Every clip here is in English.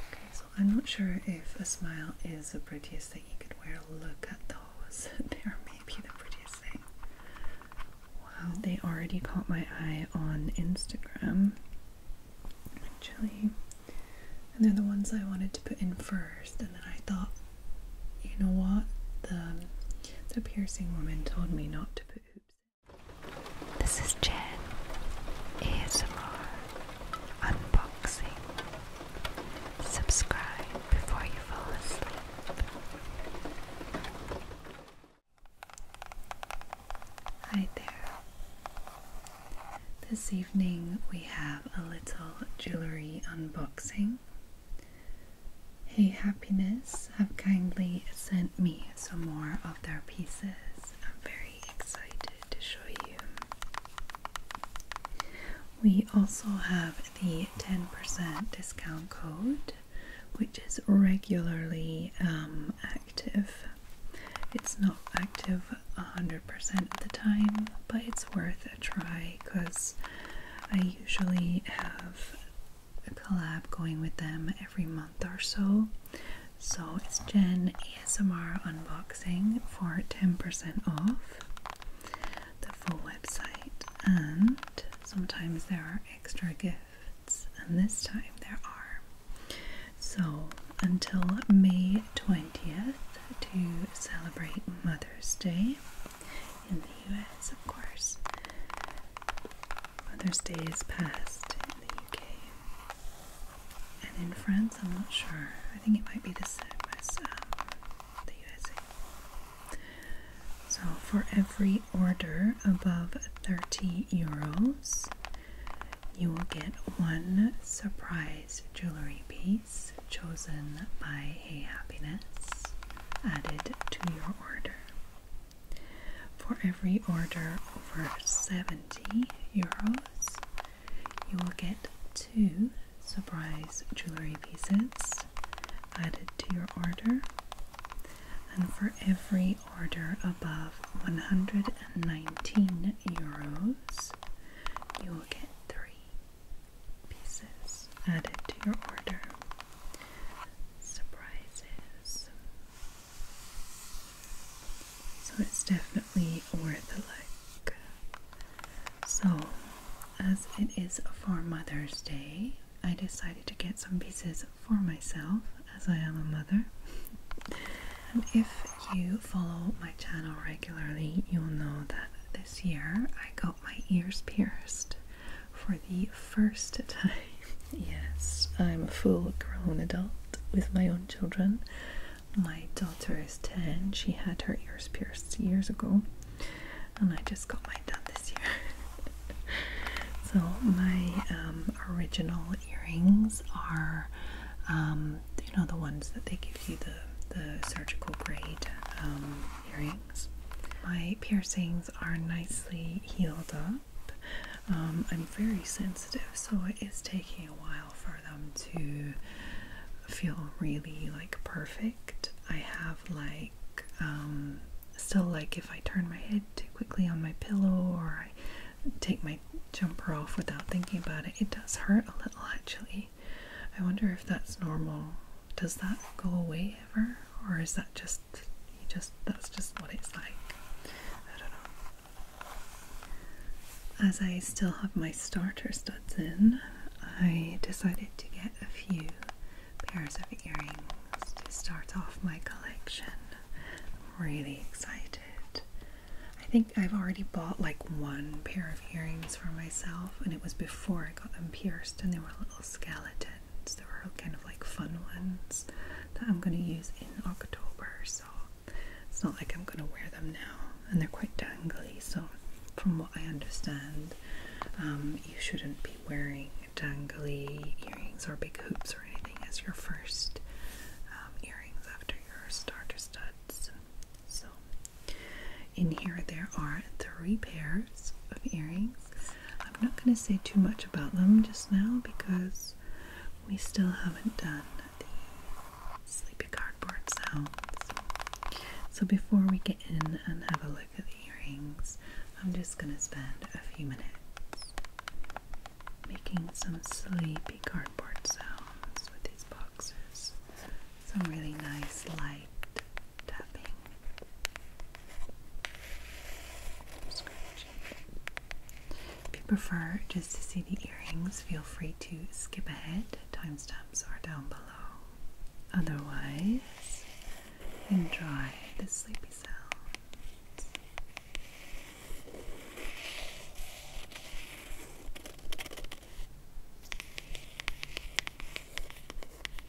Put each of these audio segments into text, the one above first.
Okay, so I'm not sure if a smile is the prettiest thing you could wear. Look at those. They're maybe the prettiest thing. Wow, they already caught my eye on Instagram. Actually. And they're the ones I wanted to put in first, and then I thought, you know what? The the piercing woman told me not to put hoops. This is Jen. ASMR unboxing. Subscribe before you fall asleep. Hi there. This evening we have a little jewelry unboxing. Hey Happiness have kindly sent me some more of their pieces. I'm very excited to show you. We also have the 10% discount code, which is regularly um, active. It's not active 100% of the time, but it's worth a try because I usually have a collab going with them every month or so. So it's Jen ASMR Unboxing for 10% off the full website, and sometimes there are extra gifts, and this time there are. So until May 20th to celebrate Mother's Day, in the US, of course. Mother's Day is past in the UK. And in France, I'm not sure. I think it might be the same as the U.S. So, for every order above 30 euros, you will get one surprise jewelry piece chosen by a Happiness added to your order. For every order over 70 euros, you will get two surprise jewellery pieces added to your order. And for every order above 119 euros, you will get three pieces added to your order, surprises. So it's definitely worth a look. So, as it is for Mother's Day, I decided to get some pieces for myself as I am a mother. and if you follow my channel regularly, you'll know that this year I got my ears pierced for the first time. yes, I'm a full grown adult with my own children. My daughter is 10, she had her ears pierced years ago, and I just got mine done this year. so, my um, original earrings are, um, you know, the ones that they give you the, the surgical grade um, earrings. My piercings are nicely healed up. Um, I'm very sensitive, so it is taking a while for them to feel really like perfect. I have like um, still like if I turn my head too quickly on my pillow or I take my jumper off without thinking about it, it does hurt a little actually. I wonder if that's normal. Does that go away ever? or is that just just that's just what it's like? I don't know. As I still have my starter studs in, I decided to get a few pairs of earrings to start off my collection. I'm really excited. I think I've already bought like one pair of earrings for myself, and it was before I got them pierced, and they were little skeleton. There were kind of like fun ones that I'm going to use in October, so it's not like I'm going to wear them now. And they're quite dangly, so from what I understand, um, you shouldn't be wearing dangly earrings or big hoops or anything as your first um, earrings after your starter studs. So in here there are three pairs of earrings I'm not going to say too much about them just now because we still haven't done the sleepy cardboard sounds. So before we get in and have a look at the earrings, I'm just going to spend a few minutes making some sleepy cardboard sounds with these boxes. Some really nice light tapping. If you prefer just to see the earrings, feel free to skip ahead. Timestamps are down below. Otherwise, enjoy the sleepy cell.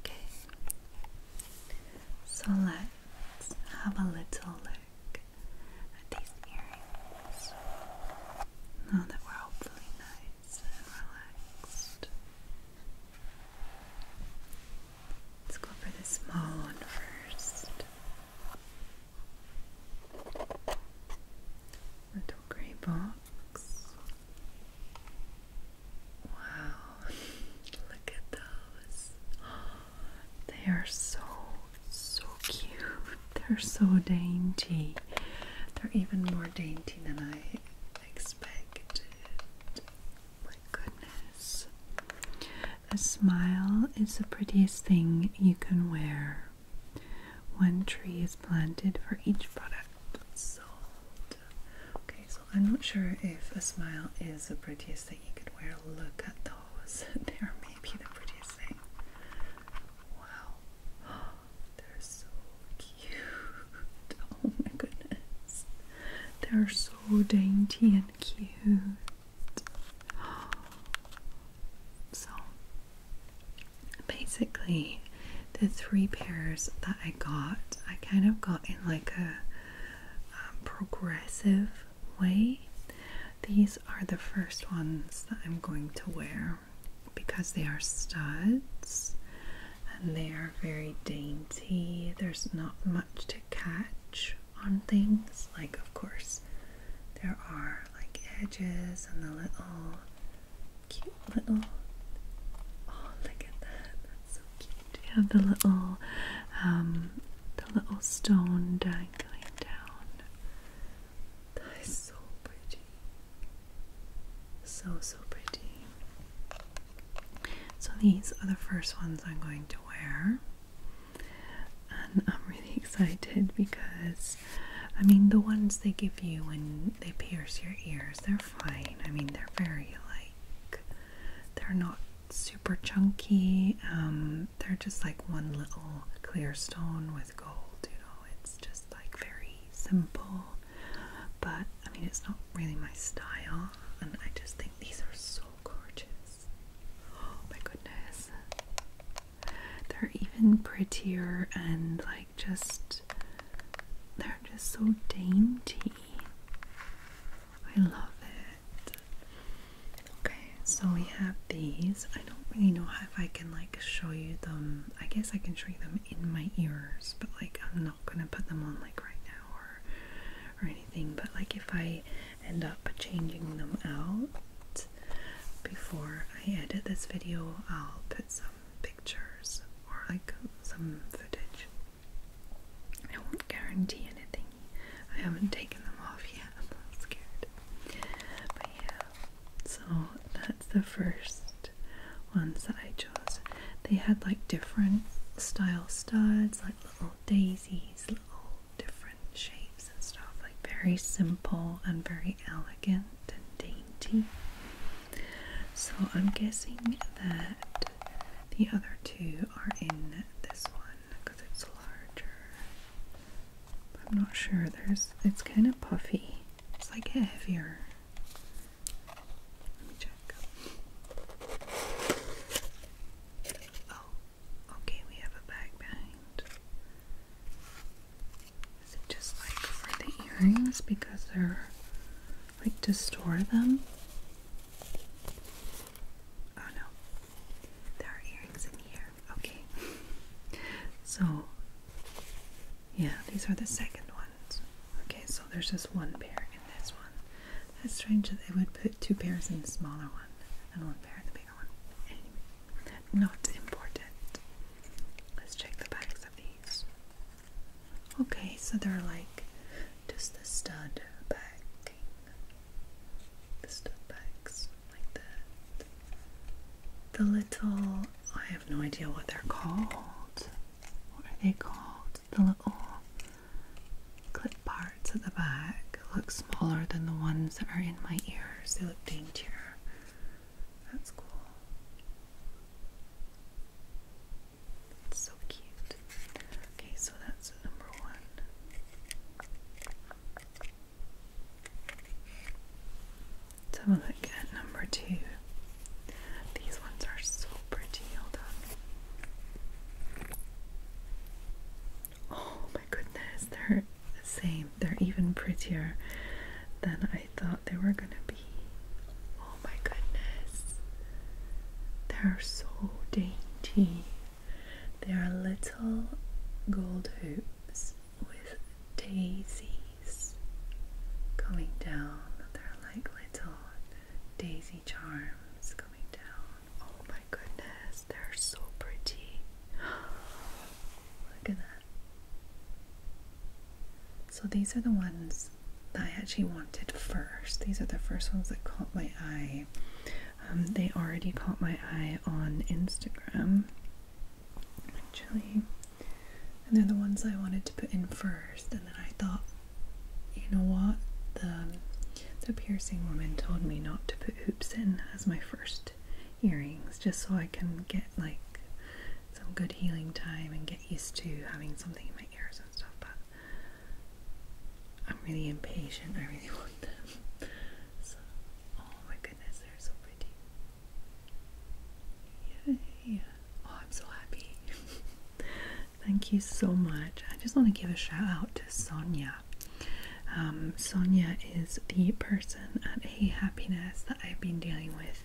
Okay, so let's have a little look at these earrings now that we're hopefully nice and relaxed. Let's go for the small one first. Little grey box. Wow, look at those. They are so, so cute. They're so dainty. They're even more dainty than I expected. My goodness. A smile is the prettiest thing you can wear. One tree is planted for each product sold. Okay, so I'm not sure if a smile is the prettiest thing you could wear. Look at those. They're maybe the prettiest thing. Wow. They're so cute. Oh my goodness. They're so dainty and cute. So basically the three pairs that I got, I kind of got in like a um, progressive way. These are the first ones that I'm going to wear because they are studs and they are very dainty. There's not much to catch on things, like, of course, there are like edges and the little cute little. Oh, look at that! so cute. You have the little, um, the little stone dangling down. That is so pretty. So, so pretty. So, these are the first ones I'm going to wear. And I'm really excited because, I mean, the ones they give you when they pierce your ears, they're fine. I mean, they're very like, they're not super chunky. Um, they're just like one little clear stone with gold, you know, it's just like very simple. But I mean, it's not really my style, and I just think these are so gorgeous. Oh my goodness. They're even prettier and like just they're just so dainty. I love it. Okay, so we have these. I don't really know if I can like show you them. I guess I can show you them in my ears, but like I'm not gonna put them on like right now or or anything. But like if I end up changing them out before I edit this video, I'll put some pictures or like some footage I won't guarantee anything. I haven't taken them off yet. I'm a little scared. But yeah, so that's the first ones that I chose. They had like different style studs, like little daisies, little different shapes and stuff. Like very simple and very elegant and dainty. So I'm guessing that the other two are in this one because it's larger. I'm not sure. There's it's kind of puffy. It's like heavier. Let me check. Oh, okay, we have a bag behind. Is it just like for the earrings because they're like to store them. Oh no, there are earrings in here. Okay, so yeah, these are the second ones. Okay, so there's just one pair in this one. That's strange that they would put two pairs in the smaller one and one pair in the bigger one. Anyway, not important. Let's check the backs of these. Okay, so they're like just the stud back the stuff bags like that. The little, I have no idea what they're called. What are they called? The little clip parts at the back look smaller than the ones that are in my ears. They look daintier. That's cool. It's so cute. Okay, so that's number one. Let's have a look at number two. These ones are so pretty. Hold on. Oh my goodness, they're the same. They're even prettier than I thought they were gonna be. Oh my goodness. They're so dainty tea. There are little gold hoops with daisies coming down. They're like little daisy charms coming down. Oh my goodness, they're so pretty. Look at that. So these are the ones that I actually wanted first. These are the first ones that caught my my um, they already caught my eye on Instagram, actually. And they're the ones I wanted to put in first. And then I thought, you know what? The, the piercing woman told me not to put hoops in as my first earrings, just so I can get like some good healing time and get used to having something in my ears and stuff. But I'm really impatient. I really want them. oh my goodness, they're so pretty. Yeah, Oh, I'm so happy. Thank you so much. I just want to give a shout out to Sonia. Um, Sonia is the person at Hey Happiness that I've been dealing with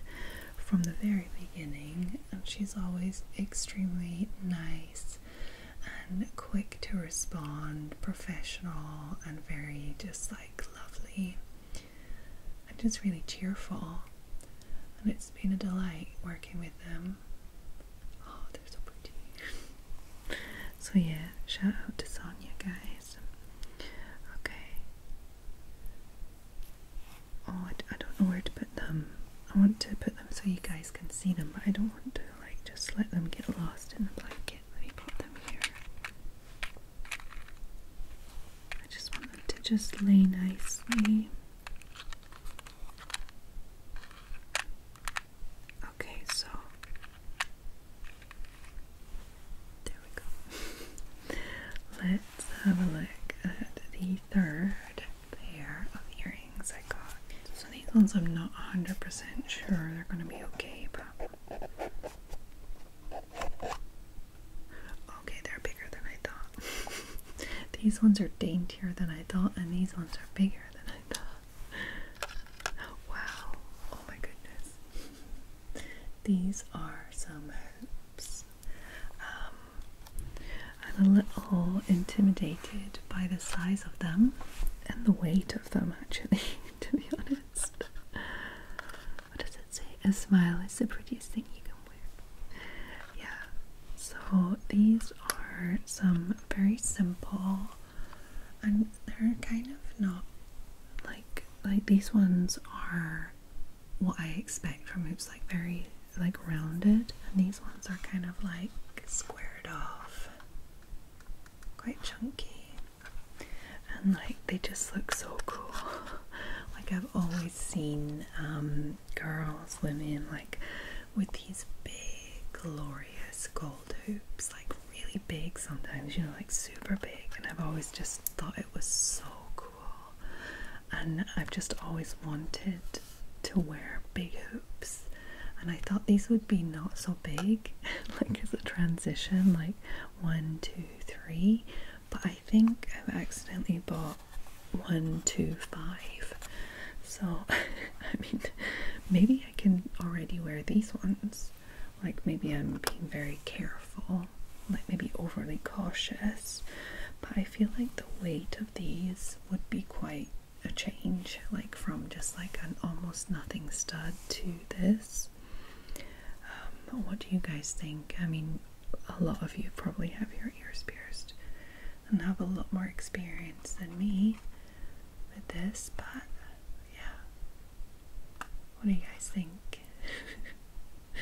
from the very beginning, she's always extremely nice and quick to respond, professional, and very just like lovely and just really cheerful. And it's been a delight working with them. Oh, they're so pretty. so, yeah, shout out to Sonia, guys. Okay. Oh, I, don't know where to put them, I want to put them so you guys can see them, but I don't want to like just let them get lost in the blanket. Let me put them here. I just want them to just lay nicely. Okay, so there we go. Let's have a look at the third pair of earrings I got. So these ones I'm not 100% sure they're going to be okay, but... Okay, they're bigger than I thought. these ones are daintier than I thought, and these ones are bigger than I thought. Wow, oh my goodness. These are some hoops. I'm a little intimidated by the size of them and the weight of them, actually, to be honest. What does it say? A smile is the prettiest thing you can wear. Yeah, so these are some very simple, and they're kind of not like like these ones are what I expect from hoops, like very like rounded and these ones are kind of like squared off quite chunky and like they just look so cool like I've always seen um, girls women like with these big glorious gold hoops like really big sometimes you know like super big and I've always just thought it was so cool and I've just always wanted to wear big hoops, and I thought these would be not so big, like as a transition, like one, two, three. But I think I've accidentally bought one, two, five. So, I mean, maybe I can already wear these ones. Like, maybe I'm being very careful, like, maybe overly cautious. But I feel like the weight of these would be quite a change like from just like an almost nothing stud to this um, what do you guys think i mean a lot of you probably have your ears pierced and have a lot more experience than me with this but yeah what do you guys think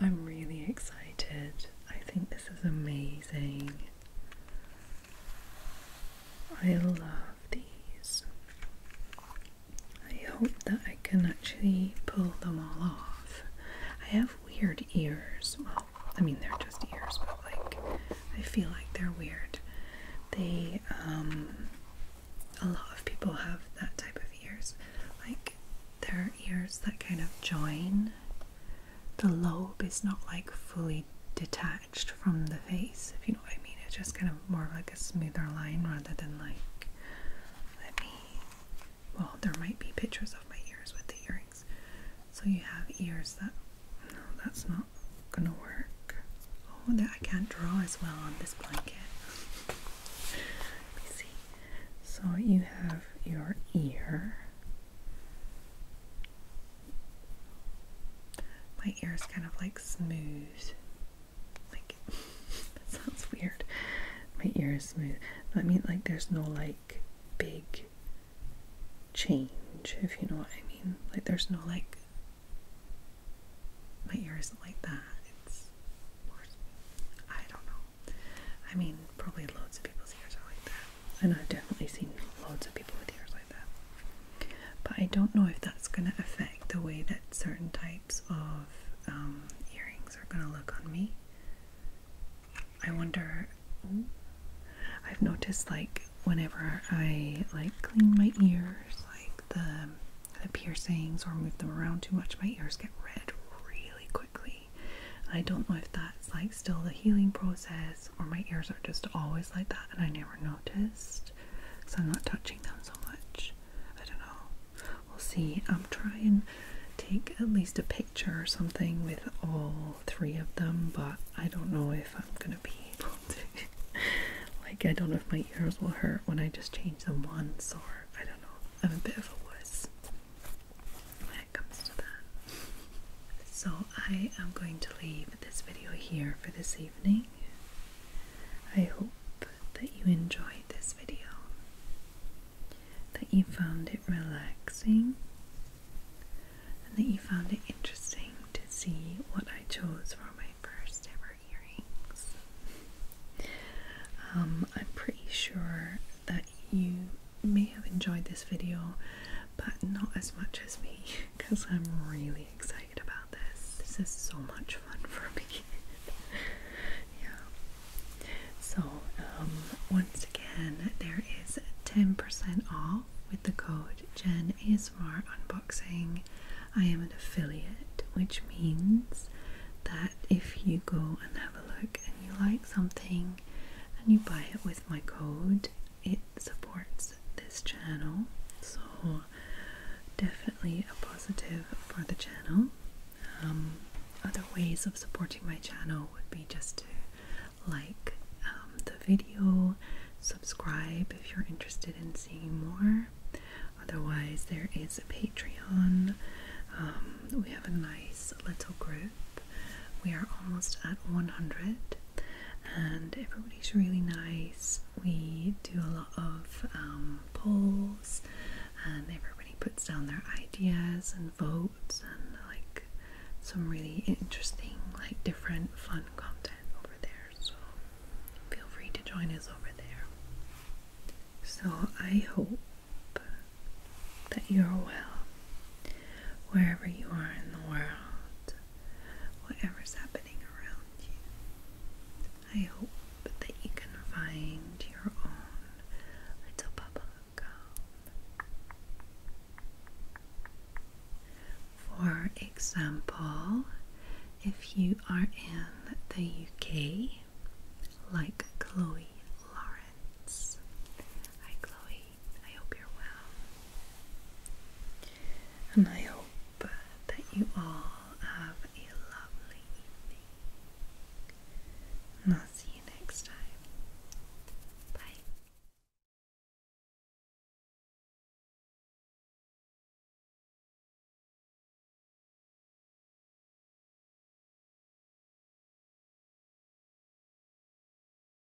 i'm really excited i think this is amazing I love these. I hope that I can actually pull them all off. I have weird ears. Well, I mean, they're just ears, but like, I feel like they're weird. They, um, a lot of people have that type of ears. Like, there are ears that kind of join the lobe is not like fully detached from the face, if you know what I mean. It's just kind of more like a smoother line rather than like, let me, well, there might be pictures of my ears with the earrings. So you have ears that, no, that's not gonna work. Oh, that I can't draw as well on this blanket. Let me see. So you have your ear. My ear is kind of like smooth. Like, that sounds weird. My ear is smooth. I mean, like, there's no like big change, if you know what I mean. Like, there's no like. My ear isn't like that. It's I don't know. I mean, probably loads of people's ears are like that. And I've definitely seen loads of people with ears like that. But I don't know if that's going to affect the way that certain types of um, earrings are going to look on me. I wonder. Ooh, I've noticed like whenever I like clean my ears, like the the piercings or move them around too much, my ears get red really quickly. I don't know if that that's like still the healing process, or my ears are just always like that and I never noticed because I'm not touching them so much. I don't know. We'll see. I'm trying to take at least a picture or something with all three of them, but I don't know if I'm gonna be able to. like, I don't know if my ears will hurt when I just change them once, or I don't know. I'm a bit of a wuss comes to that. So I am going to leave this video here for this evening. I hope that you enjoyed this video, that you found it relaxing, and that you found it interesting to see what I chose for my first ever earrings. Um, I'm pretty sure that you may have enjoyed this video, but not as much as me because I'm really excited about this. This is so much fun for me. yeah. So, um, once again, there is 10% off with the code Jen ASMR Unboxing. I am an affiliate, which means that if you go and have a look and you like something and you buy it with my code, it supports this channel, so definitely a positive for the channel. Um, other ways of supporting my channel would be just to like um, the video, subscribe if you're interested in seeing more. Otherwise, there is a Patreon. Um, we have a nice little group we are almost at 100, and everybody's really nice. We do a lot of um, polls, and everybody puts down their ideas and votes, and like some really interesting, like different, fun content over there. So feel free to join us over there. So I hope that you're well wherever you are in the world whatever's happening around you. I hope that you can find your own little bubble For example, if you are in the UK, like Chloe Lawrence. Hi, Chloe. I hope you're well. And I hope that you all have a lovely evening. And I'll see you next time. Bye.